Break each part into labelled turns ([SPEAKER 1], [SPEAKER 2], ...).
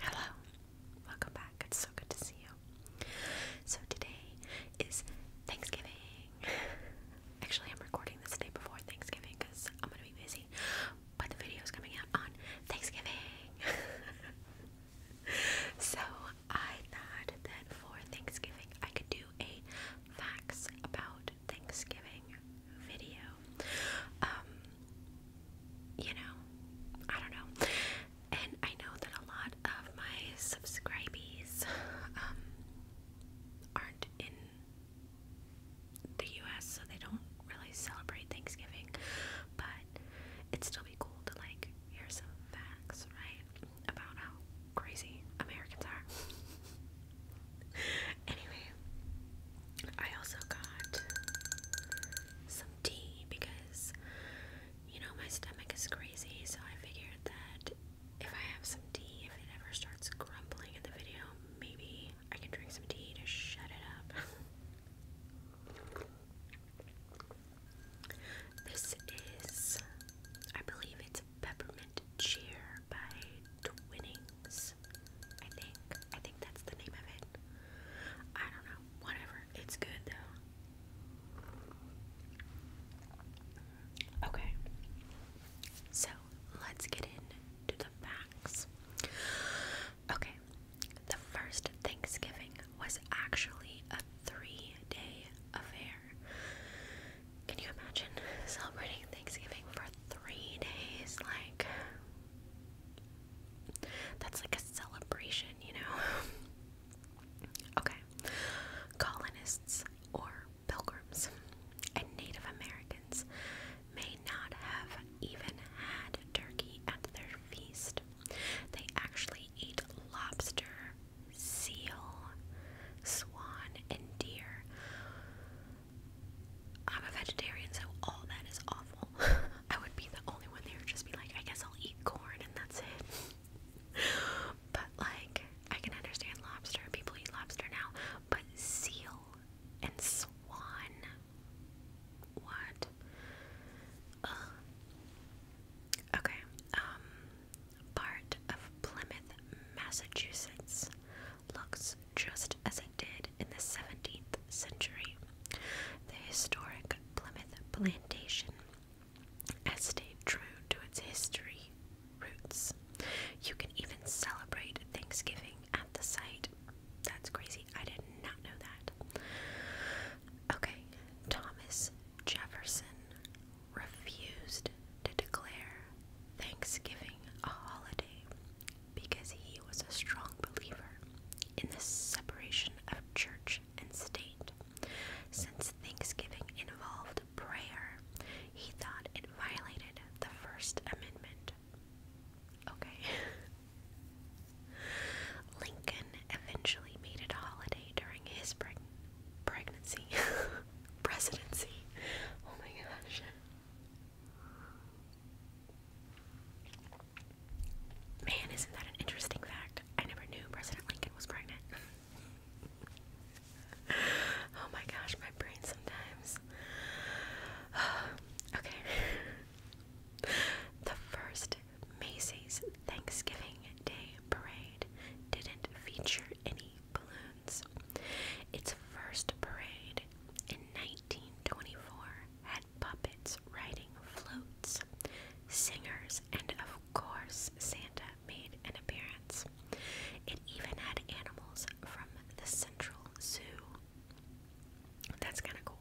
[SPEAKER 1] Hello, welcome back. It's so good to see you. So, today is Thanksgiving. Actually, I'm recording this day before Thanksgiving because I'm gonna be busy, but the video is coming out on Thanksgiving. so, I thought that for Thanksgiving I could do a facts about Thanksgiving video. Um, you know, I don't know. And I know that a lot of my subscribees um, aren't in the US, so they don't really celebrate Thanksgiving. But it'd still be cool to, like, hear some facts, right? About how crazy Americans are. Anyway, I also got some tea because you know my stomach is crazy, so I figured that if I have some tea, if it ever starts grumbling in the video, maybe I can drink some tea to shut it up. This is, I believe it's peppermint cheer by Twinnings. I think. I think that's the name of it. I don't know. Whatever. It's good though. Okay. So let's get into the facts. Okay. The first Thanksgiving was actually a three day affair. Can you imagine celebrating Thanksgiving for three days? Like, that's like a celebration, you know? okay. Colonists or pilgrims and Native Americans may not have even had turkey at their feast. They actually eat lobster, seal, swan, and deer I'm a vegetarian, so all that is awful. I would be the only one there who just be like, I guess I'll eat corn and that's it. but like, I can understand lobster. People eat lobster now, but seal and swan, what? Okay. Um, part of Plymouth, Massachusetts looks just as it did in the 17th century. The historic Plymouth Plantation has stayed true to its history roots. You can even celebrate Thanksgiving at the site. That's crazy. I did not know that. Okay, Thomas Jefferson refused to declare Thanksgiving a holiday because he was a strong believer in the separation of church and state. Since Thanksgiving involved prayer, he thought it violated the First Amendment. Okay. Lincoln eventually made it a holiday during his pregnancy, presidency. Oh my gosh. Man, isn't that an interesting fact? I never knew President Lincoln was pregnant. oh my gosh, my brain sometimes. okay. the first Macy's Thanksgiving Day parade didn't feature any balloons bands. Its first parade in 1924 had puppets riding floats, singers, and of course, Santa made an appearance. It even had animals from the Central Zoo. That's kind of cool.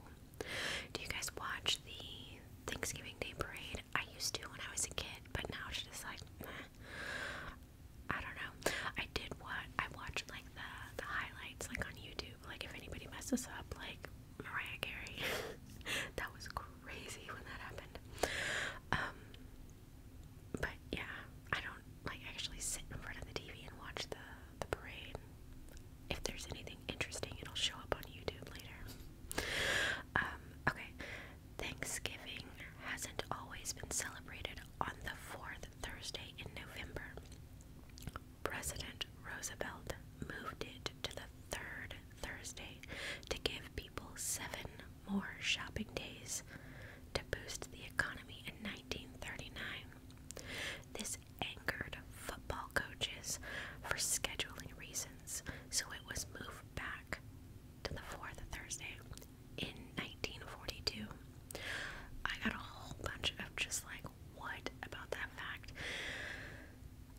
[SPEAKER 1] Do you guys watch the Thanksgiving Day parade? I used to when I was a kid, but now it's just like, I don't know. I did what I watched like the the highlights like on YouTube. Like if anybody messes up, like Mariah Carey. that was crazy when that happened. Um but yeah, I don't like actually sit in front of the TV and watch the the parade. If there's anything interesting, it'll show up on YouTube later. Um, okay. Thanksgiving hasn't always been celebrated on the 4th Thursday in November. President Roosevelt moved it to the third Thursday to give people seven more shopping days to boost the economy in 1939. This angered football coaches for scheduling reasons, so it was moved back to the fourth Thursday in 1942. I got a whole bunch of just like, what about that fact?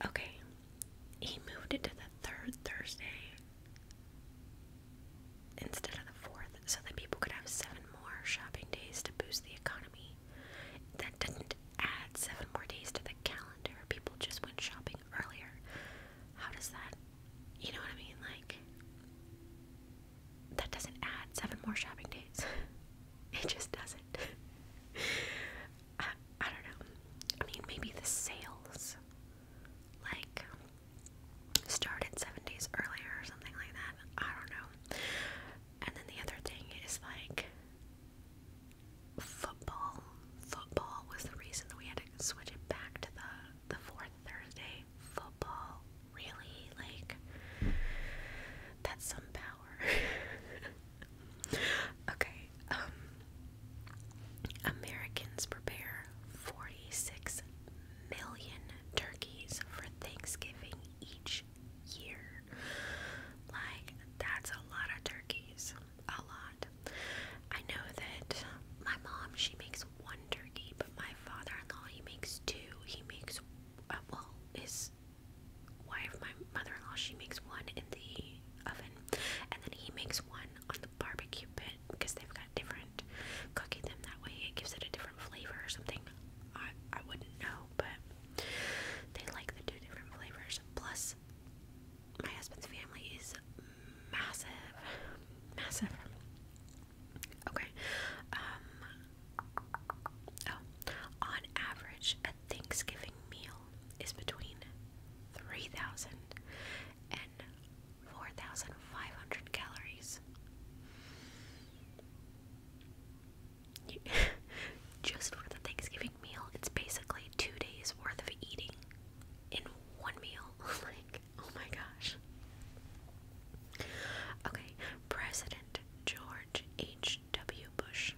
[SPEAKER 1] Okay, he moved it to the third Thursday instead of the fourth so that people could have seven more shopping days to boost the economy. That didn't add seven more days to the calendar. People just went shopping earlier. How does that, you know what I mean? Like, that doesn't add seven more shopping days. it just doesn't. I, I don't know. I mean, maybe the sales like started seven days earlier or something like that. I don't know.
[SPEAKER 2] And then the other thing is
[SPEAKER 1] like football. Football was the reason that we had to switch it back to the the fourth Thursday. Football really? Like, that's some power. okay, um, Americans prepare 46 million turkeys for Thanksgiving each year. Like, that's a lot of turkeys. A lot. I know that my mom, she makes one turkey, but my father-in-law, he makes two. He makes uh, well, his wife, my mother-in-law, she makes one in the oven, and then he makes one on the barbecue pit because they've got different cooking them that way. It gives it a different flavor or something. I I wouldn't know, but they like the two different flavors. Plus, my husband's family is massive, massive. Okay. Um, oh, on average, a Thanksgiving meal is between 3,000 and 4,500 calories. Just for the Thanksgiving meal, it's basically two days worth of eating in one meal. like, oh my gosh. Okay, President George H.W. Bush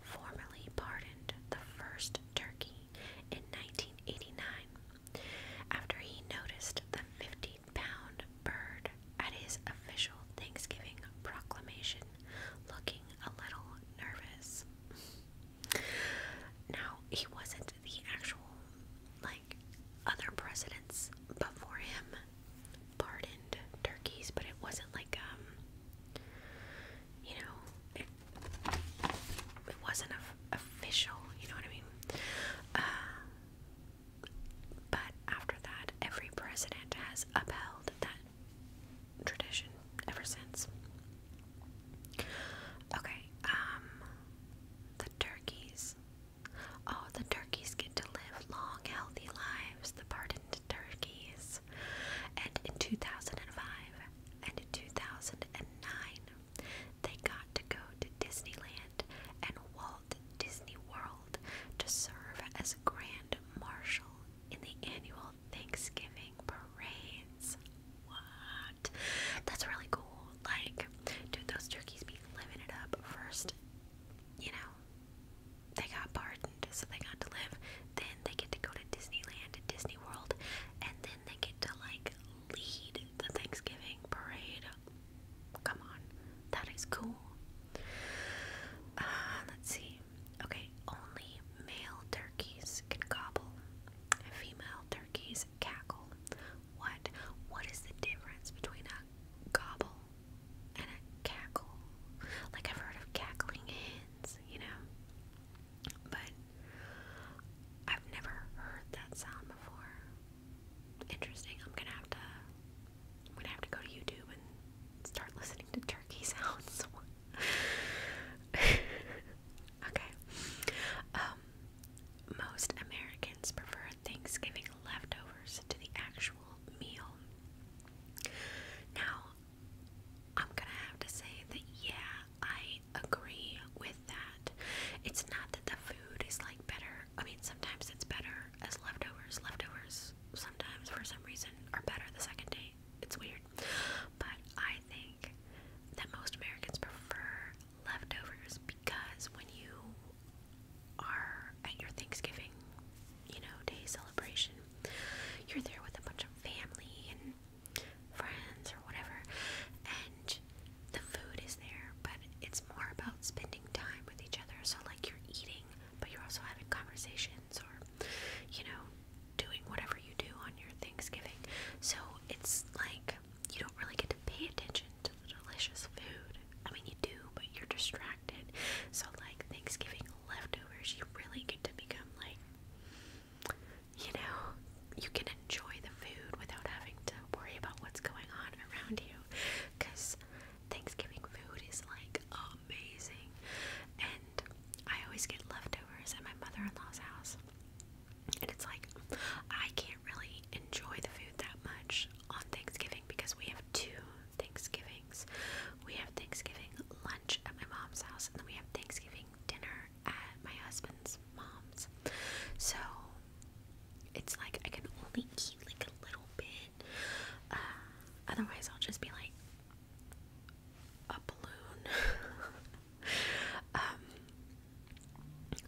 [SPEAKER 1] formally pardoned the first turkey in 1989 after he noticed the 15 pound bird at his official Thanksgiving proclamation looking a little nervous. Now, he wasn't the actual, like, other presidents before him pardoned turkeys, but it wasn't like um, you know, it wasn't official. You know what I mean? Uh, but after that, every president has upheld that tradition ever since. Okay, um, the turkeys all the turkeys get to live long, healthy lives, the pardoned turkeys. And in 2005 and in 2009, they got to go to Disneyland and Walt Disney World to serve as Grand Marshal in the annual Thanksgiving parades. What? That's really cool. Like, dude, those turkeys be living it up first you know, they got pardoned, so they got to live. Then they get to go to Disneyland and Disney World, and then they get to like lead the Thanksgiving parade. Come on, that is cool. Uh, let's see. Okay, only male turkeys can gobble. Female turkeys cackle. What? What is the difference between gobble and a cackle. Like I've heard of cackling hens, you know, but I've never heard that sound before. Interesting. I'm gonna have to. I'm gonna have to go to YouTube and start listening to turkey sounds. okay. Um, most Americans prefer Thanksgiving leftovers to the actual meal. Now, I'm gonna have to say that, yeah, I agree with that. It's not that the food is like better, I mean, sometimes it's better as leftovers. Leftovers, sometimes for some reason, are better the second day. It's weird. But I think that most Americans prefer leftovers because when you are at your Thanksgiving, you know, day celebration, you're there with a bunch of family and friends or whatever, and the food is there, but it's more about spending time with each other. So, like, you're eating, but you're also having conversations or, you know, doing whatever you do on your Thanksgiving. So, it's like you don't really get to to pay attention to the delicious food. I mean, you do, but you're distracted. So, like, Thanksgiving leftovers, you really get to become like, you know, you can enjoy the food without having to worry about what's going on around you. Because Thanksgiving food is like amazing. And I always get leftovers at my mother in law's house. And it's like, I can't really enjoy the food that much on Thanksgiving because we have two Thanksgivings. We have Thanksgiving lunch at my mom's house, and then we have Thanksgiving dinner at my husband's mom's. So it's like I can only eat like a little bit. Uh, otherwise, I'll just be like a balloon. Um,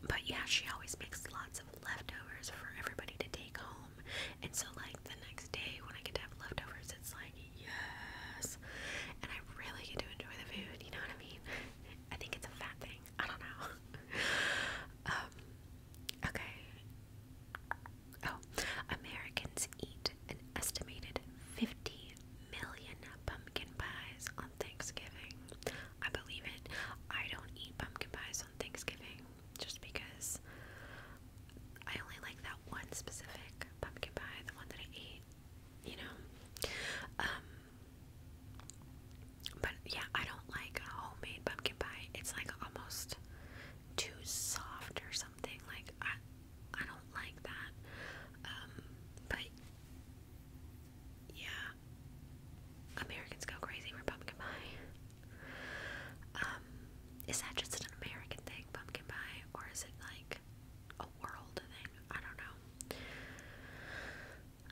[SPEAKER 1] but yeah, she always makes lots of leftovers for everybody to take home. And so, like, the next day when I get to have leftovers, it's like, yes. And I really get to enjoy the food, you know what I mean? I think it's a fat thing. I don't know. Um, okay. Oh, Americans eat an estimated 50 million pumpkin pies on Thanksgiving. I believe it. I don't eat pumpkin pies on Thanksgiving just because I only like that one specific pumpkin pie, the one that I ate, you know. Um, but yeah, I don't like homemade pumpkin pie. It's like almost too soft or something. Like I I don't like that. Um, but yeah. Americans go crazy for pumpkin pie. Um, is that just an American thing, pumpkin pie, or is it like a world thing? I don't know.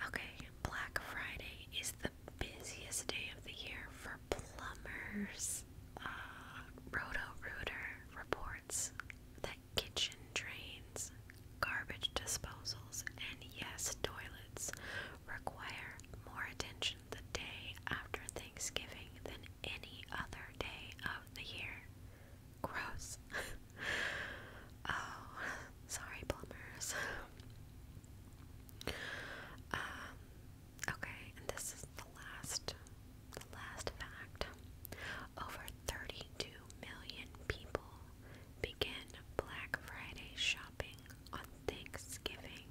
[SPEAKER 1] Okay, Black Friday is the busiest day of the year for plumbers. Uh, Roto Rooter reports that kitchen drains, garbage disposals, and yes, toilets require more attention the day after Thanksgiving than any other day of the year. Gross. oh, sorry, plumbers. um, okay, and this is the last, the last fact. Over 32 million people begin Black Friday shopping on Thanksgiving.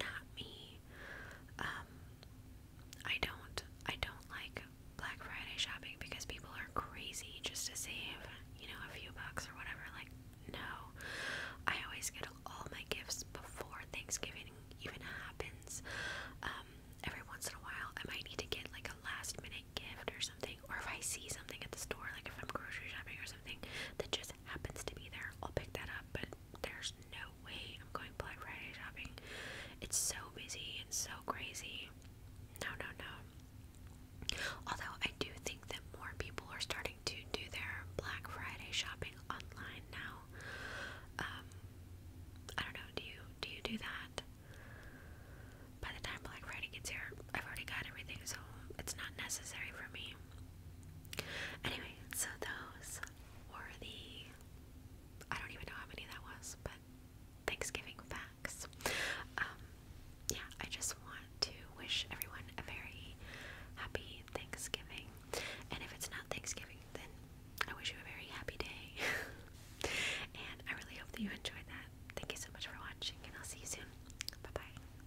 [SPEAKER 1] Not me. Um, I don't I don't like Black Friday shopping because people are crazy just to save, you know, a few bucks or whatever. Like, no. I always get all my gifts before Thanksgiving even happens. Um, every once in a while I might need to get like a last minute gift or something, or if I see something at the store, like if I'm grocery shopping or something that just happens to be there, I'll pick that up, but there's no way I'm going Black Friday shopping. It's so busy and so crazy. No, no, no. Although I do think that more people are starting to do their Black Friday shopping online now. Um, I don't know. Do you do you do that? By the time Black Friday gets here, I've already got everything, so it's not necessary for me. Anyway, so those were the I don't even know how many that was, but Thanksgiving facts. Um, yeah, I just want to wish everyone a very happy Thanksgiving. And if it's not Thanksgiving, then I wish you a very happy day. and I really hope that you enjoyed that. Thank you so much for watching, and I'll see you soon. Bye bye.